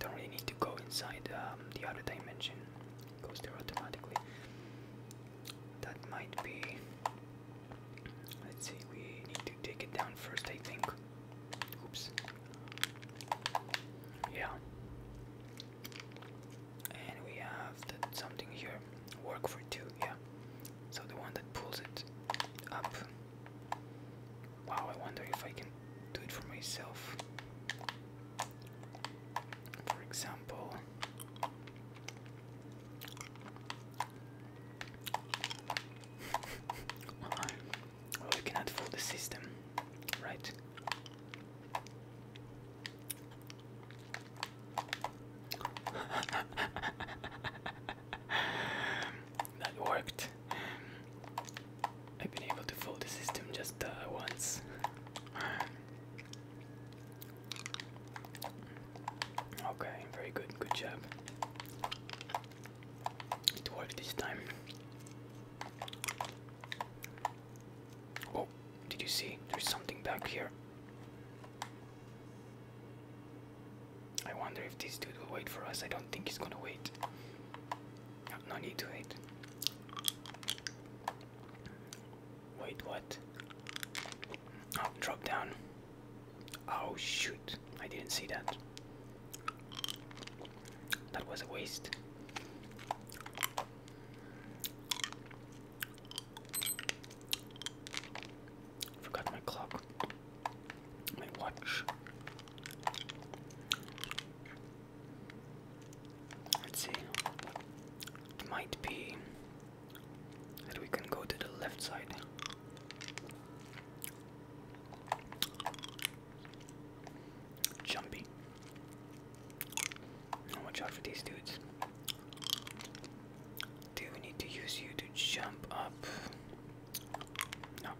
Don't really need to go inside um, the other dimension. goes there automatically. That might be. Let's see. We need to take it down first. I think. Oops. Yeah. And we have something here. Work for two, yeah. So the one that pulls it up. Wow, I wonder if I can do it for myself. For example, We cannot fool the system, right? that worked. I've been able to fool the system just uh, once. Okay, very good, good job. It worked this time. Oh, did you see? There's something back here. I wonder if this dude will wait for us. I don't think he's gonna wait. No, need to wait. Wait, what? Oh, drop down. Oh, shoot. I didn't see that. That was a waste. Forgot my clock. My watch. Let's see. It might be that we can go to the left side. Jumpy. Watch out for these dudes. Do we need to use you to jump up? No.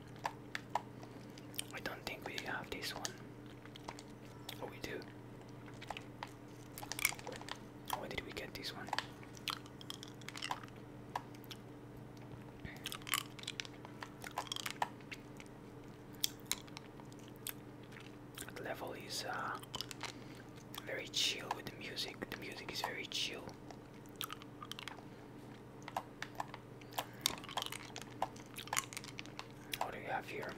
I don't think we have this one. Oh, we do. Where did we get this one? level is uh, very chill with the music. The music is very chill. What do we have here?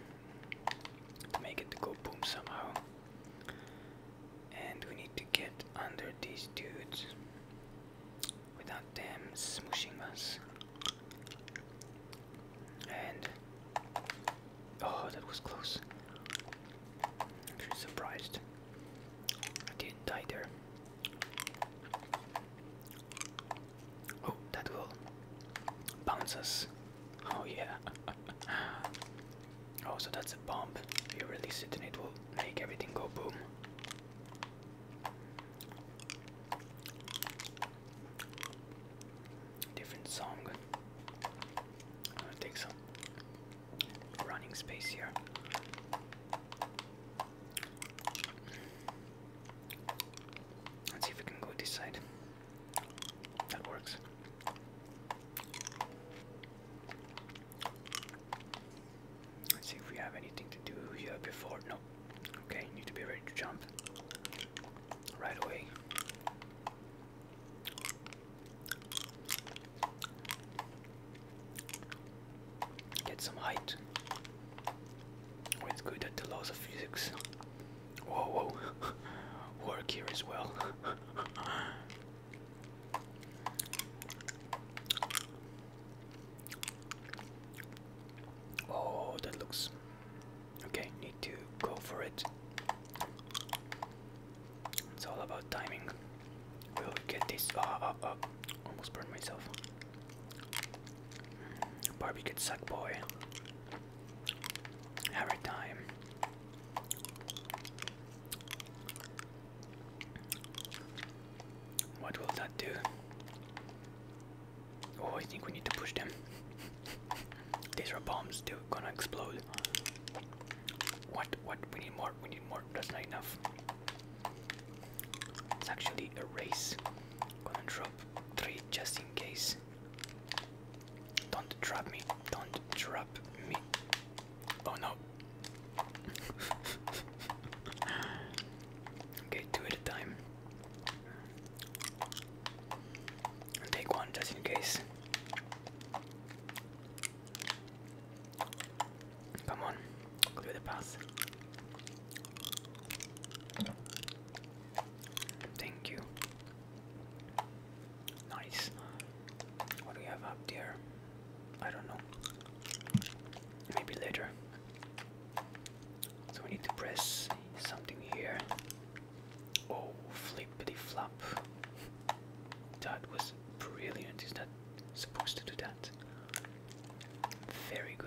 make it go boom somehow. And we need to get under these dudes without them smooshing us. And oh, that was close. Actually surprised I didn't die there. Oh, that will bounce us. Oh yeah. oh, so that's a bomb. You release it and it will make everything go boom. Different song. I'm going take some running space here. Let's see if we can go this side. That works. Let's see if we have anything to do here before. No, Okay, you need to be ready to jump right away. Get some height. Oh, it's good at the laws of physics. Whoa, whoa, work here as well. Oh, that looks okay. Need to go for it. It's all about timing. We'll get this. Oh, oh, oh. Almost burned myself. Barbie gets suck boy. Every time. What will that do? Oh, I think we need to push them. These are bombs, they're gonna explode. What? What? We need more, we need more. That's not enough. It's actually a race. Gonna drop three just in case. Don't trap me, don't trap me. Oh no. okay, two at a time take one just in case. Come on, do the pass. Thank you. Nice. What do we have up there? I don't know. Maybe later. So we need to press something here. Oh, flippity flop. That was brilliant. Is that supposed to do that? Very good.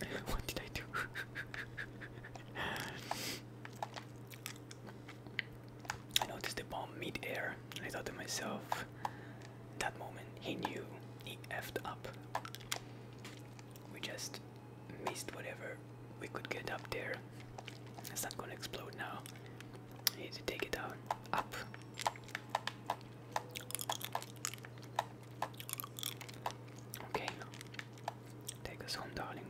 what did I do? I noticed the bomb mid-air. I thought to myself, that moment he knew he effed up. We just missed whatever we could get up there. It's not gonna explode now. need to take it down. Up. Okay, take us home, darling.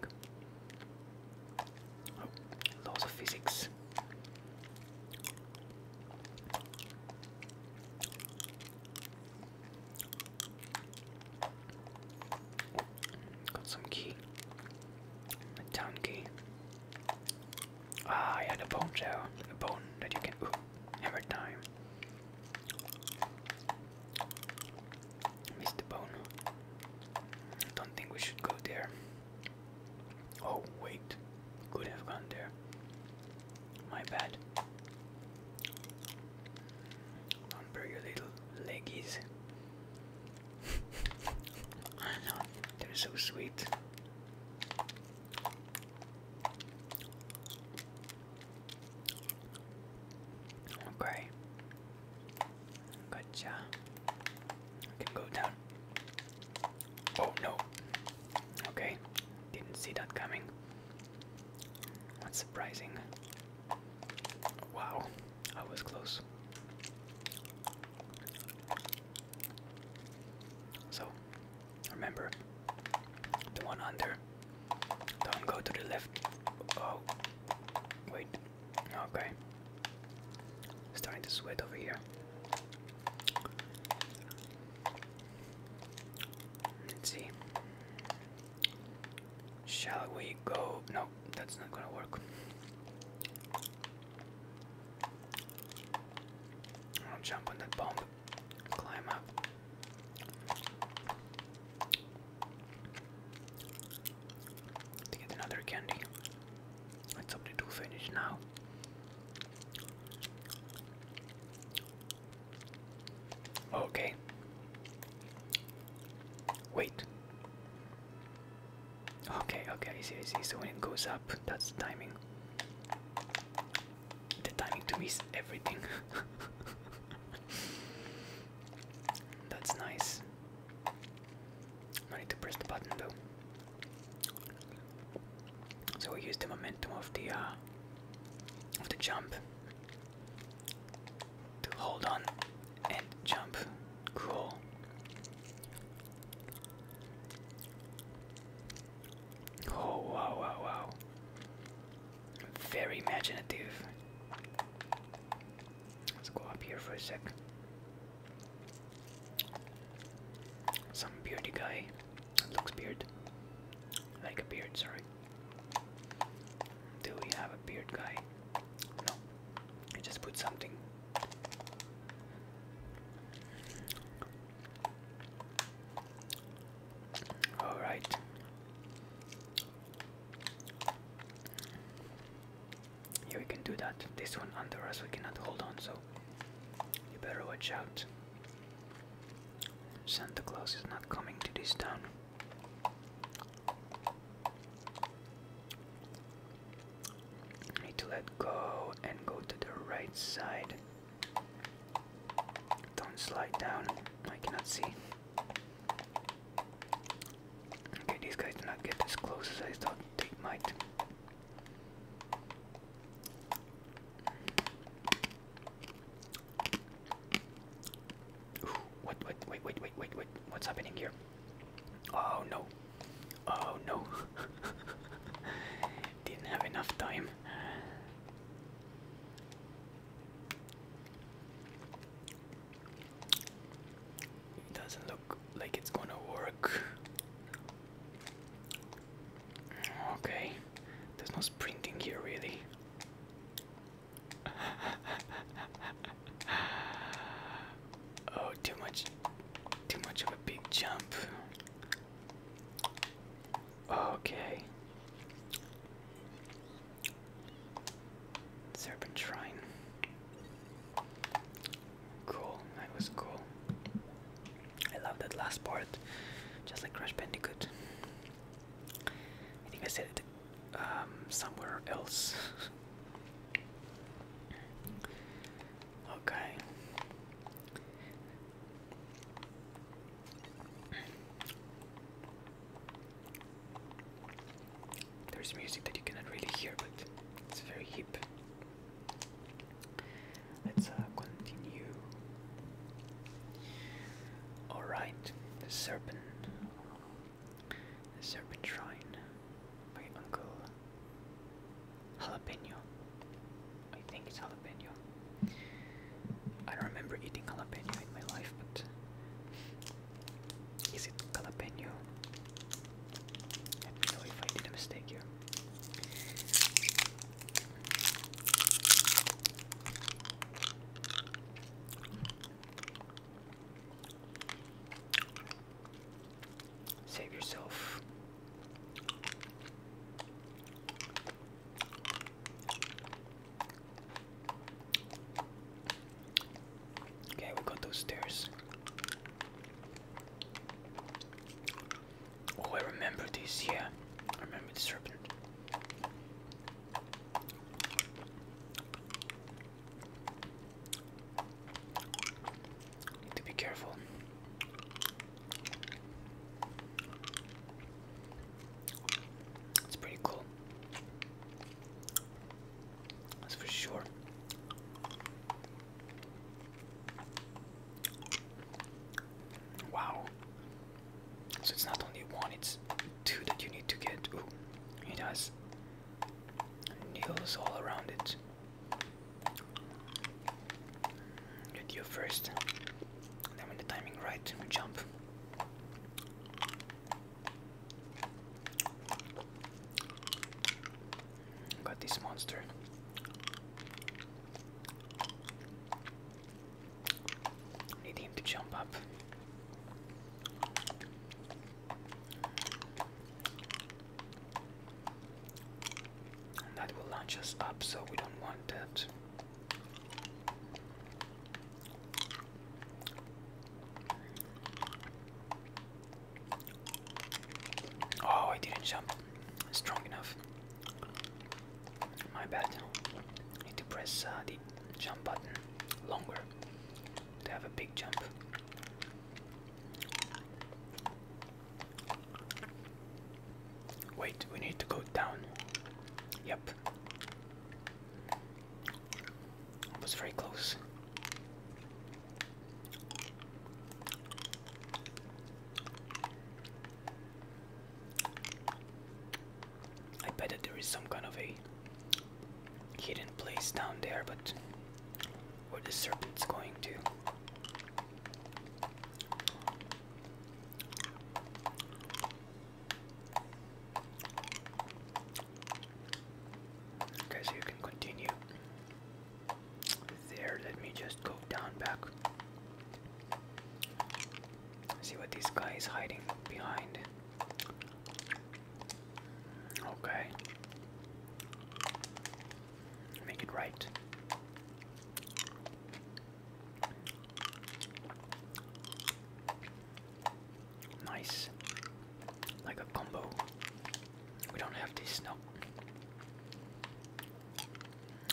Oh, laws of physics. Got some key. A town key. Ah, yeah, the bone there. The bone that you can. Ooh, hammer time. Missed the bone. Don't think we should go there. Oh, wait. Could have gone there. My bad. Remember your little leggies. I know, they're so sweet. Okay. Gotcha. I can go down. Oh no. Okay. Didn't see that coming. That's surprising. Wow. I was close. So, remember, the one under. Don't go to the left. Oh, wait. Okay. Starting to sweat over here. Let's see. Shall we go? No, that's not gonna work. I'll jump on that bomb Climb up. To get another candy. It's up to finish now. Okay. Wait. Okay, okay, I see, I see. So when it goes up, that's timing. The timing to me everything. That's nice. need to press the button though. So we use the momentum of the uh, of the jump to hold on and jump. Cool. Oh wow wow wow. Very imaginative. Let's go up here for a sec. Some bearded guy. It looks beard. Like a beard, sorry. Do we have a beard guy? No. I just put something. All right. Yeah, we can do that. This one under us, we cannot hold on, so you better watch out. Santa Claus is not coming to this town. Need to let go and go to the right side. Don't slide down. I cannot see. Okay, these guys do not get as close as I thought they might. what, what, wait, wait, wait, wait, wait, what's happening here? Oh no. Oh no. Didn't have enough time. It doesn't look like it's gonna work. Okay, there's no sprinting here, really. oh, too much, too much of a big jump. Okay. Serpent Shrine. Cool, that was cool. I love that last part, just like Crash Bandicoot. I think I said it um, somewhere else. okay. There's music that you cannot really hear, but it's very hip. Let's uh, continue. Alright, the serpent. Serpent Shrine by Uncle Jalapeno. I think it's Jalapeno. I don't remember eating jalapeno in my life, but is it jalapeno? Let me know if I did a mistake here. Save yourself Okay, we got those stairs. Oh, I remember this, yeah. I remember the serpent. Need to be careful. It's pretty cool. That's for sure. Wow. So it's not only one, it's two that you need to get. it has nails all around it. Get you first when the timing right, we jump. Got this monster. Need him to jump up. that will launch us up, so we don't want that. Oh, I didn't jump strong enough. My bad. need to press uh, the jump button longer to have a big jump. Wait, we need to go down. Yep up. was very close. I bet that there is some kind of a hidden place down there, but where the serpent's going to. Okay, so you can continue there. Let me just go down back. See what these guys hiding behind. Okay. Make it right. Nice. Like a combo. We don't have this, no.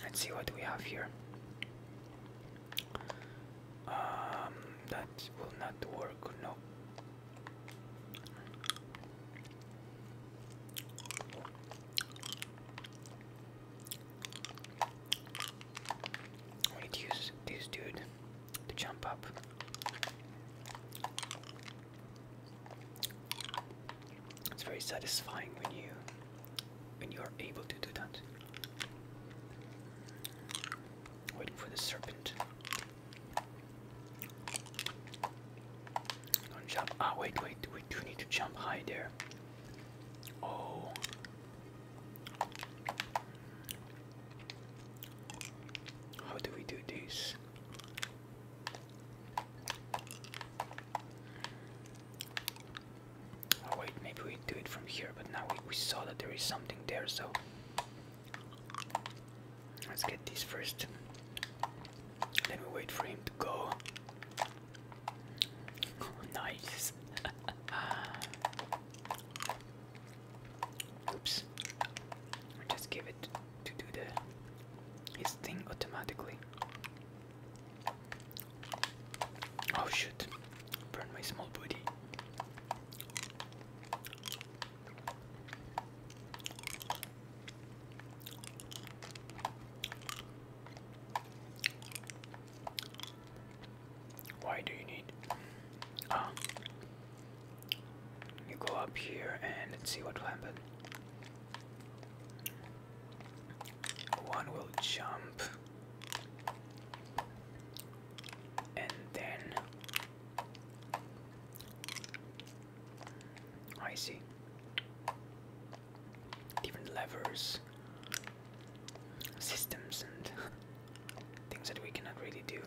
Let's see what we have here. Um, that will not work, no. I use this dude to jump up. It's very satisfying when you when you are able to do that. Waiting for the serpent. Don't jump. Ah, wait, wait, we do need to jump high there. Oh, how do we do this? Oh wait, maybe we do it from here, but now we, saw that there is something there, so let's get this first. Then we wait for him to go. nice. Oops. Just give it to do the his thing automatically. Oh shoot. Burn my small body. Why do you need? Uh, you go up here and see what will happen. One will jump, and then I see different levers systems and things that we cannot really do.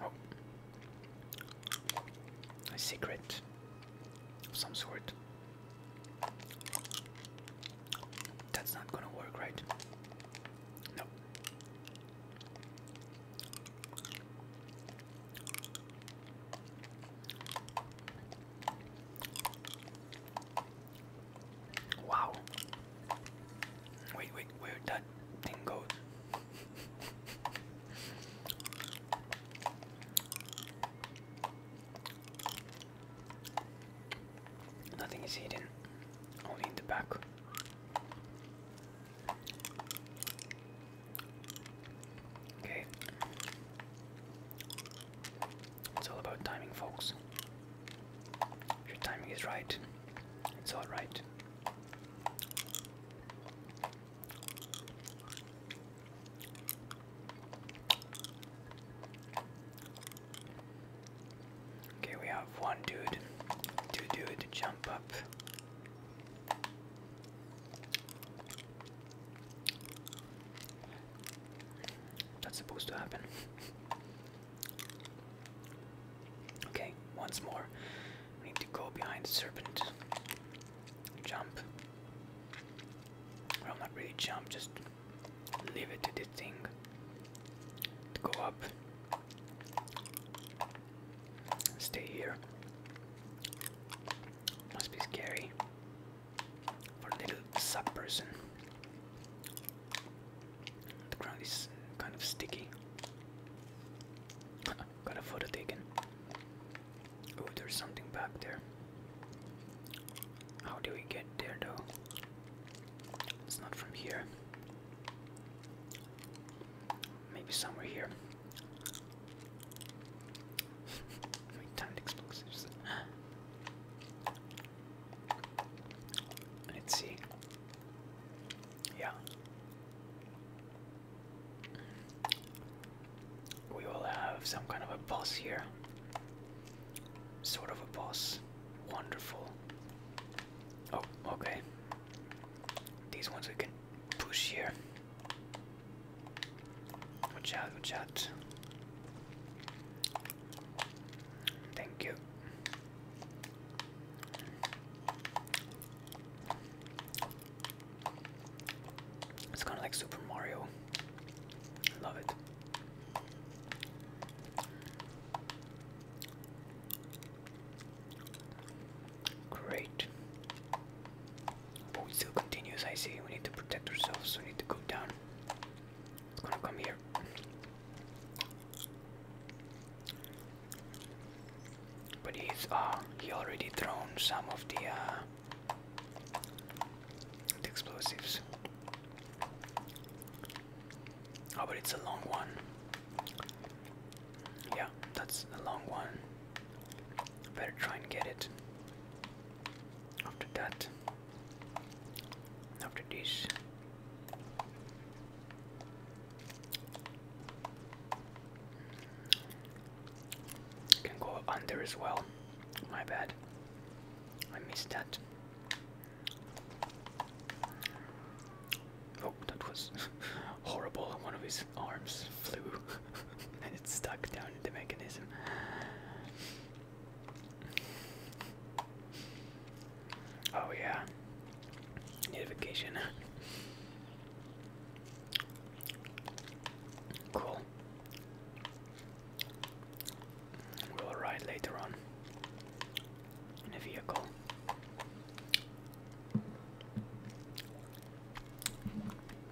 Oh. a secret of some sort. That's not gonna work, right? No. Wow. Wait, wait, where that thing goes? Nothing is hidden, only in the back. Okay. It's all about timing, folks. If your timing is right, it's all right. Okay, we have one dude, two dude jump up. That's supposed to happen. okay, once more. We need to go behind the serpent. Jump. Well, not really jump, just leave it to the thing go up. Stay here. Must be scary for a little sub person. The ground is kind of sticky. Got a photo taken. Oh, there's something back there. How do we get there though? It's not from here. Maybe somewhere here. My timed explosives. Let's see. Yeah. We will have some kind of a boss here. Sort of a boss. Wonderful. Oh, okay. These ones we can push here. Watch out, watch out. Thank you. It's kind of like Super Mario. love it. Great. But it still continues, I see. We need to protect ourselves, we need to go down. It's gonna come here. But he's uh he already thrown some of the uh the explosives. Oh, but it's a long one. Yeah, that's a long one. Better try and get it. After that. After this. Can go under as well. My bad. I missed that. Oh, that was horrible. One of his arms flew and it stuck down in the mechanism. Oh, yeah. Notification. Cool. We'll ride later on in a vehicle.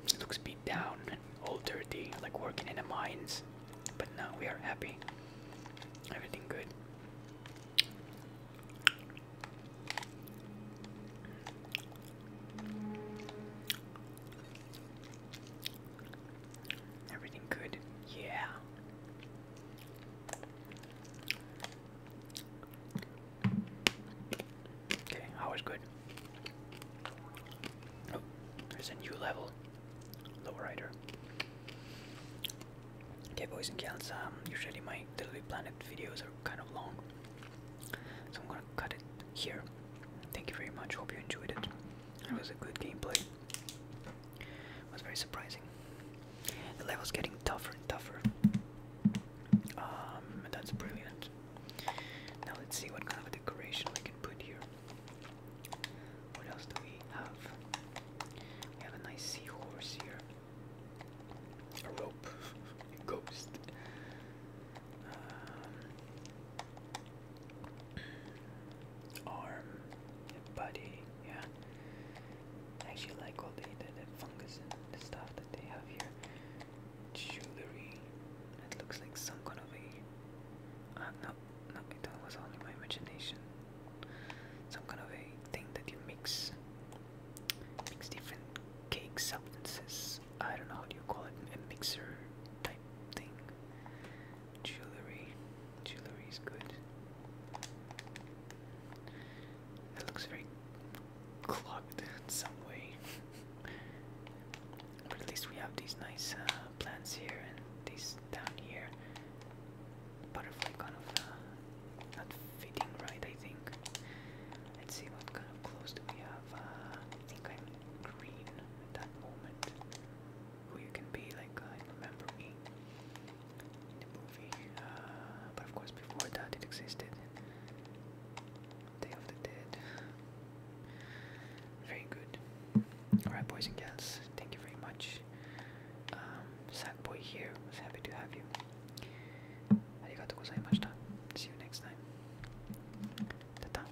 It looks beat down, all dirty, like working in the mines. But now we are happy. Everything good. Everything good? Yeah. Okay, I was good. Oh, there's a new level. Lowrider. Okay, boys and girls. um, usually my Little Planet videos are kind of long. So I'm gonna cut it here. Thank you very much. Hope you enjoyed it. It was a good gameplay. It was very surprising. The level's getting tougher and tougher. Um, that's brilliant. Now let's see what kind of decoration we can put here. What else do we have? We have a nice seahorse here. A rope. a ghost. Um, arm, and body, yeah. actually like all the, the, the fungus and the stuff that they have here. Jewelry. It looks like some kind of a. Uh, no, no, it was only my imagination. Some kind of a thing that you mix. Mix different cake substances. I don't know how do you call it, a mixer type thing. Jewelry. Jewelry is good. That looks very clogged in some way. but at least we have these nice uh, plants here and these down here. Butterfly kind of uh, not fitting right, I think. Let's see what kind of clothes do we have. Uh, I think I'm green at that moment who you can be, like remember me in the movie. Uh, but of course, before that, it existed. Day of the Dead. Very good. Alright, boys and girls, thank you very much. Um, sad boy here was happy to have you. Arigatou gozaimashita. See you next time. ta